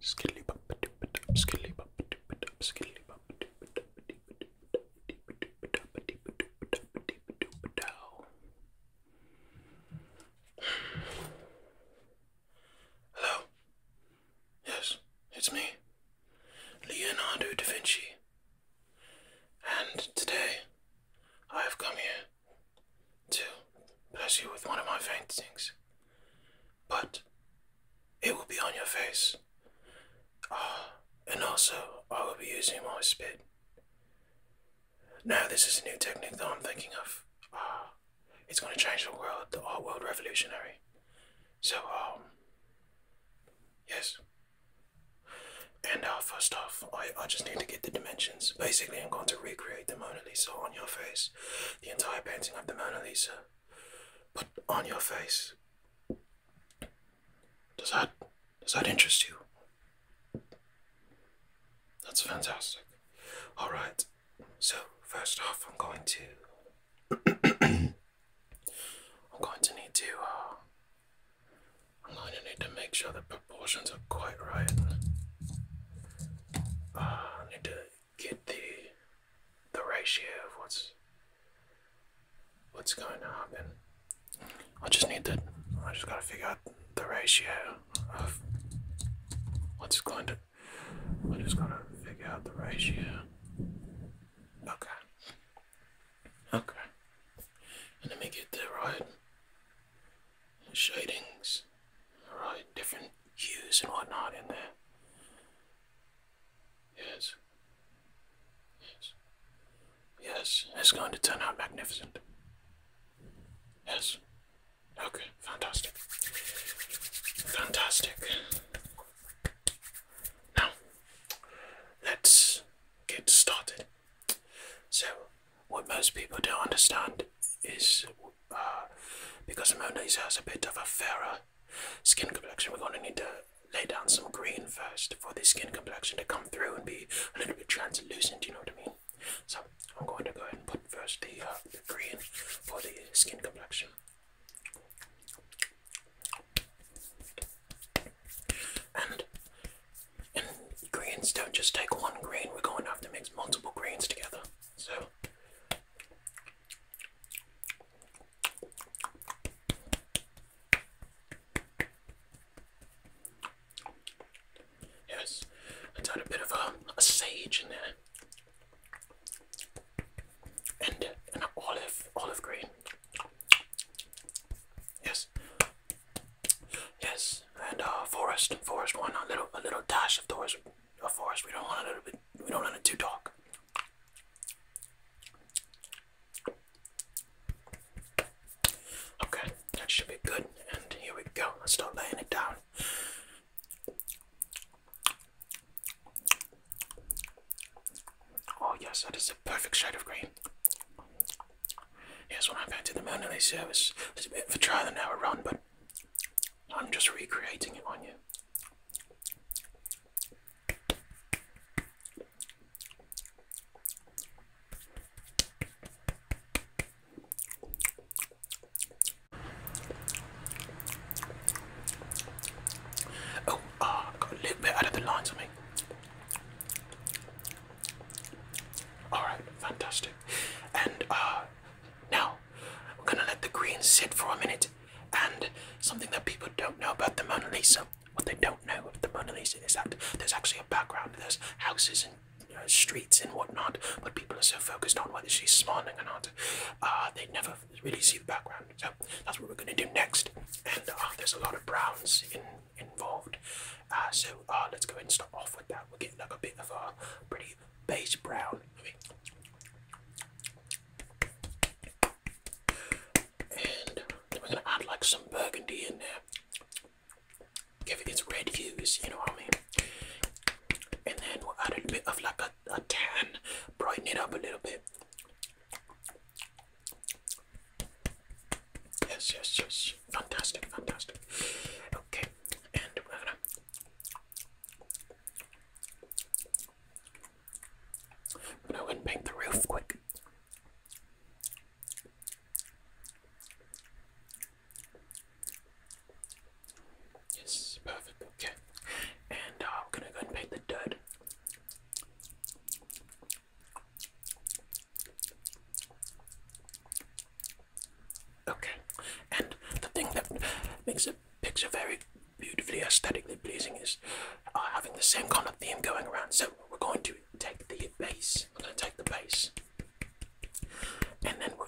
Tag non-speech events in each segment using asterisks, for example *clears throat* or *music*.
Skilly bop a dip it up, skilly bop a dip it up, skilly bop a dip it up, dip it up, dip it up, dip it up, dip it up, dip it up, dip it up, down. Hello? Yes, it's me, Leonardo da Vinci. And today I have come here to bless you with one of my faintings, but it will be on your face. Uh, and also, I will be using my spit. Now, this is a new technique that I'm thinking of. Uh, it's going to change the world, the art world revolutionary. So, um, yes. And uh, first off, I, I just need to get the dimensions. Basically, I'm going to recreate the Mona Lisa on your face the entire painting of the Mona Lisa, but on your face. Does that does that interest you? That's fantastic. All right. So first off, I'm going to *clears throat* I'm going to need to. Uh, I'm going to need to make sure the proportions are quite right. Uh, I need to get the the ratio of what's what's going to happen. I just need to. I just gotta figure out the ratio of what's going to. I just gotta figure out the ratio. Okay. Okay. And let me get the right shadings, right, different hues and whatnot in there. Yes. Yes. Yes, it's going to turn out magnificent. Yes. Okay, fantastic. Fantastic. Now, let's get started. So, what most people don't understand is uh, because Mona Lisa has a bit of a fairer skin complexion, we're going to need to lay down some green first for the skin complexion to come through and be a little bit translucent, you know what I mean? So I'm going to go ahead and put first the, uh, green for the skin complexion. and greens don't just take one green, we're going to have to mix multiple greens together. So Yes, I done a bit of a, a sage in there. And an olive, olive green. Yes. Yes, and uh, forest, forest one, a little, a little dash of forest, of course, we don't want to. We don't want to talk. Okay, that should be good. And here we go. Let's start laying it down. Oh yes, that is the perfect shade of green. Yes, when I painted the Mona Lisa, it was, it a bit of a trial and error run, but I'm just recreating it on you. Oh, ah, got a little bit out of the lines on me. Alright, fantastic. And uh, now we're gonna let the greens sit for a minute. And something that people don't know about the Mona Lisa, what they don't know of the Mona Lisa is that there's actually a background. There's houses and streets and whatnot, but people are so focused on whether she's smiling or not, uh, they never really see the background. So that's what we're gonna do next. And uh, there's a lot of browns involved. Uh, so uh, let's go ahead and start off with that. We'll get a bit of a pretty very beige brown. Okay. And we're gonna add like some burgundy in there. Give it its red hues, you know what I mean? And then we'll add a bit of like a, a tan, brighten it up a little bit. Yes, yes, yes. Fantastic, fantastic. Okay, and we're gonna I'm gonna go and paint the roof quick. Yes, perfect, okay. And I'm uh, gonna go and paint the dirt. Okay, and the thing that makes a picture very beautifully aesthetically pleasing is uh, having the same kind of theme going around. So we're going to take the base. We're going to take the base, and then we're,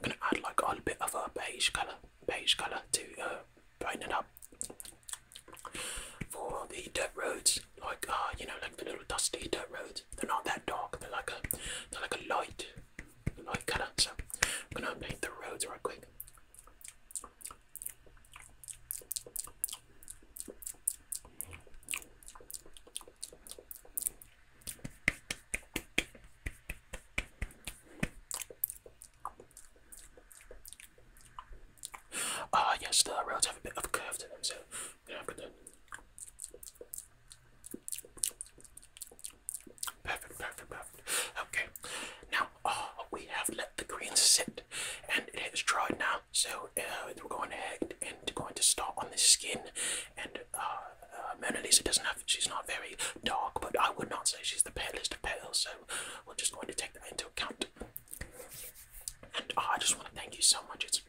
going to add like a little bit of a beige color, beige color to uh, brighten it up for the dirt roads. Like uh, you know, like the little dusty dirt roads. They're not that dark. They're like a, they're like a light light colour. So I'm gonna paint the roads real quick. Ah, yes, the roads have a bit of a curve to them, so I'm gonna Perfect, perfect, perfect. Okay, now uh, we have let the greens sit and it has dried now. So uh, we're going ahead and going to start on the skin. And uh, Mona Lisa doesn't have, she's not very dark, but I would not say she's the palest of pale. So we're just going to take that into account. And I just want to thank you so much. It's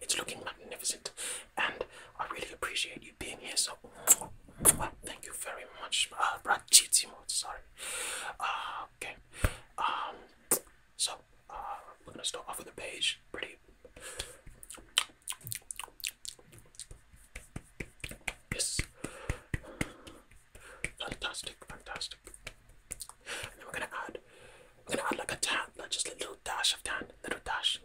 it's looking magnificent, and I really appreciate you being here. So, thank you very much, uh, ah, Brachitimo. Sorry. Uh, okay. Um. So, uh, we're gonna start off with a page. Pretty. Yes. Fantastic, fantastic. we're gonna add I'm gonna add like a tan, just a little dash of tan, little dash.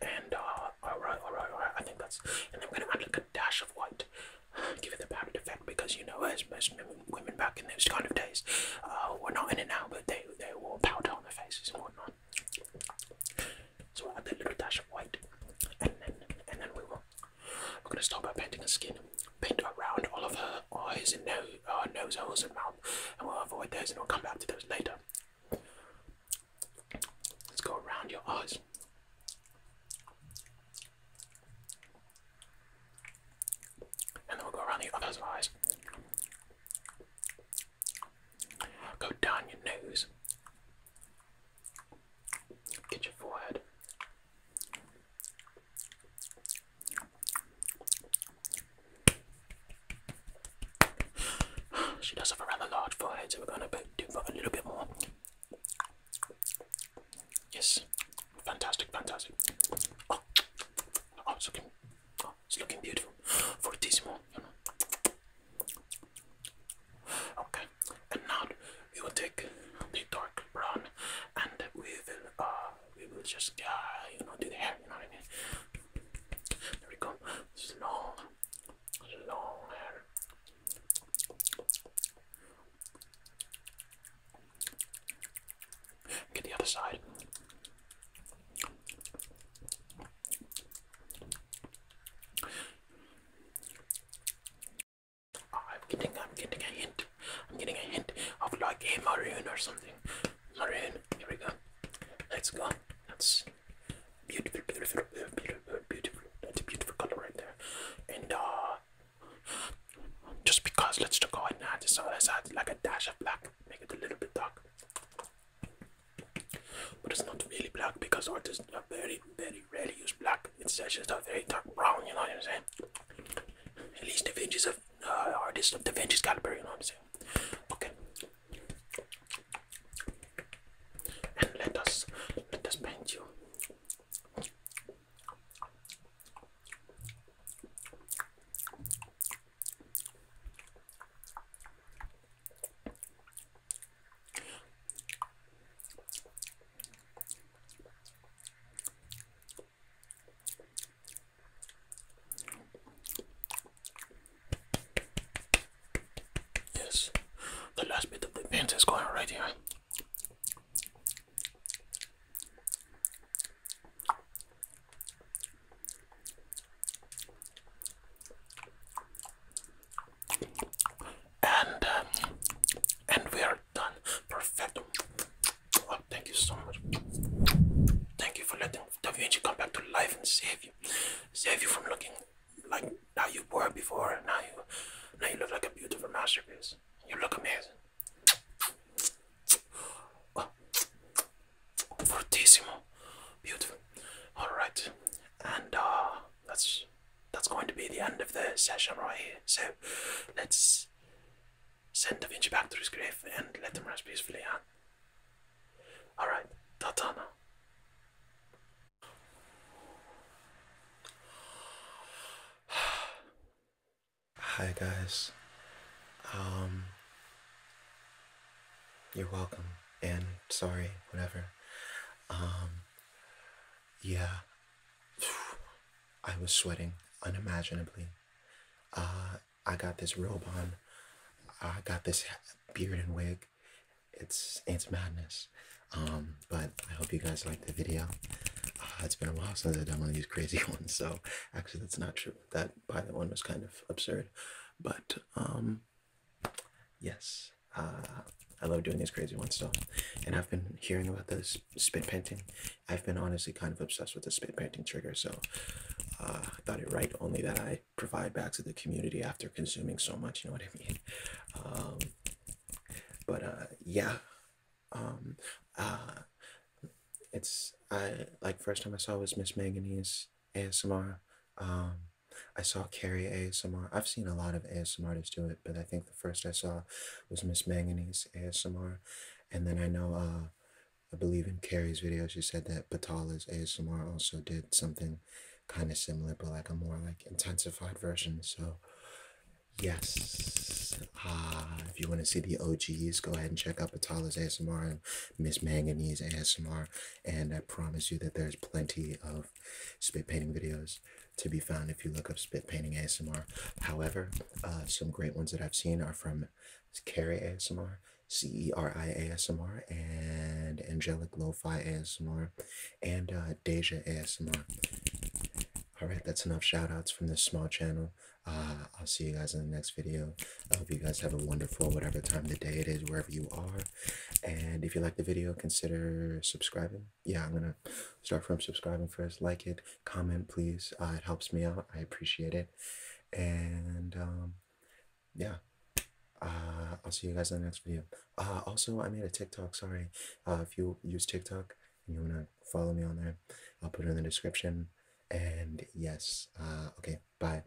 And uh, alright, alright, alright, I think that's, and I'm gonna add like a dash of white, *sighs* give it the effect because you know, as most women back in those kind of days uh, were not in it now, but they, they wore powder on their faces and whatnot. So we'll add that little dash of white, and then and then we will. We're gonna start by painting her skin. Paint around all of her eyes and nose, uh, nose holes and mouth, and we'll avoid those, and we'll come back to those later. Let's go around your eyes. And then we'll go around the other eyes. Go down your nose. Get your forehead. She does have a rather large forehead, so we're going to do a little bit more. Yes, fantastic, fantastic. Oh, oh, oh it's looking, beautiful. For this one. Okay, and now we will take the dark brown and we will uh we will just uh you know do the hair, you know what I mean? There we go. It's long, long hair. Get the other side. I'm getting, I'm getting a hint. I'm getting a hint of like a maroon or something. Maroon. Here we go. Let's go. That's beautiful, beautiful, beautiful, beautiful. That's a beautiful color right there. And uh, just because, let's just go ahead and add this. So let's add like a dash of black. Make it a little bit dark but it's not really black because artists are very very rarely use black it's just a very dark brown you know what i'm saying at least the vinges of uh, artists of the vinges caliber you know what i'm saying okay and let us let us paint you Yes, the last bit of the paint is going right here and um, and we are done. Perfect. Oh, thank you so much. Thank you for letting DaVinci come back to life and save you, save you from looking like how you were before. Now you, now you look like a beautiful masterpiece. You look amazing. Oh, fortissimo, beautiful. All right, and uh, that's that's going to be the end of the session right here. So let's send Davinci back to his grave and let him rest peacefully. on. Alright, Tata Hi guys. Um you're welcome. And sorry, whatever. Um, yeah. *sighs* I was sweating unimaginably. Uh, I got this robe on. I got this beard and wig. It's it's madness. Um, but I hope you guys like the video. Uh, it's been a while since I've done one of these crazy *laughs* ones, so actually that's not true. That pilot one was kind of absurd, but um, Yes, uh, I love doing these crazy ones still. And I've been hearing about this spit painting. I've been honestly kind of obsessed with the spit painting trigger, so uh, I thought it right only that I provide back to the community after consuming so much, you know what I mean? Um, but uh, yeah, um, it's, I, like, first time I saw was Miss Manganese ASMR. Um, I saw Carrie ASMR. I've seen a lot of ASMR artists do it, but I think the first I saw was Miss Manganese ASMR. And then I know, uh, I believe in Carrie's video, she said that Batala's ASMR also did something kind of similar, but like a more like intensified version. So, yes. Uh, if you want to see the OGs, go ahead and check out Batala's ASMR and Miss Manganese ASMR. And I promise you that there's plenty of spit painting videos to be found if you look up spit painting ASMR. However, uh, some great ones that I've seen are from Carrie ASMR, C-E-R-I ASMR, and Angelic Lo-Fi ASMR, and uh, Deja ASMR. Alright, that's enough shoutouts from this small channel. Uh, I'll see you guys in the next video. I hope you guys have a wonderful whatever time of the day it is, wherever you are. And if you like the video, consider subscribing. Yeah, I'm gonna start from subscribing first. Like it, comment, please. Uh, it helps me out. I appreciate it. And um, yeah, uh, I'll see you guys in the next video. Uh, also, I made a TikTok. Sorry, uh, if you use TikTok and you wanna follow me on there, I'll put it in the description. And yes, uh, okay, bye.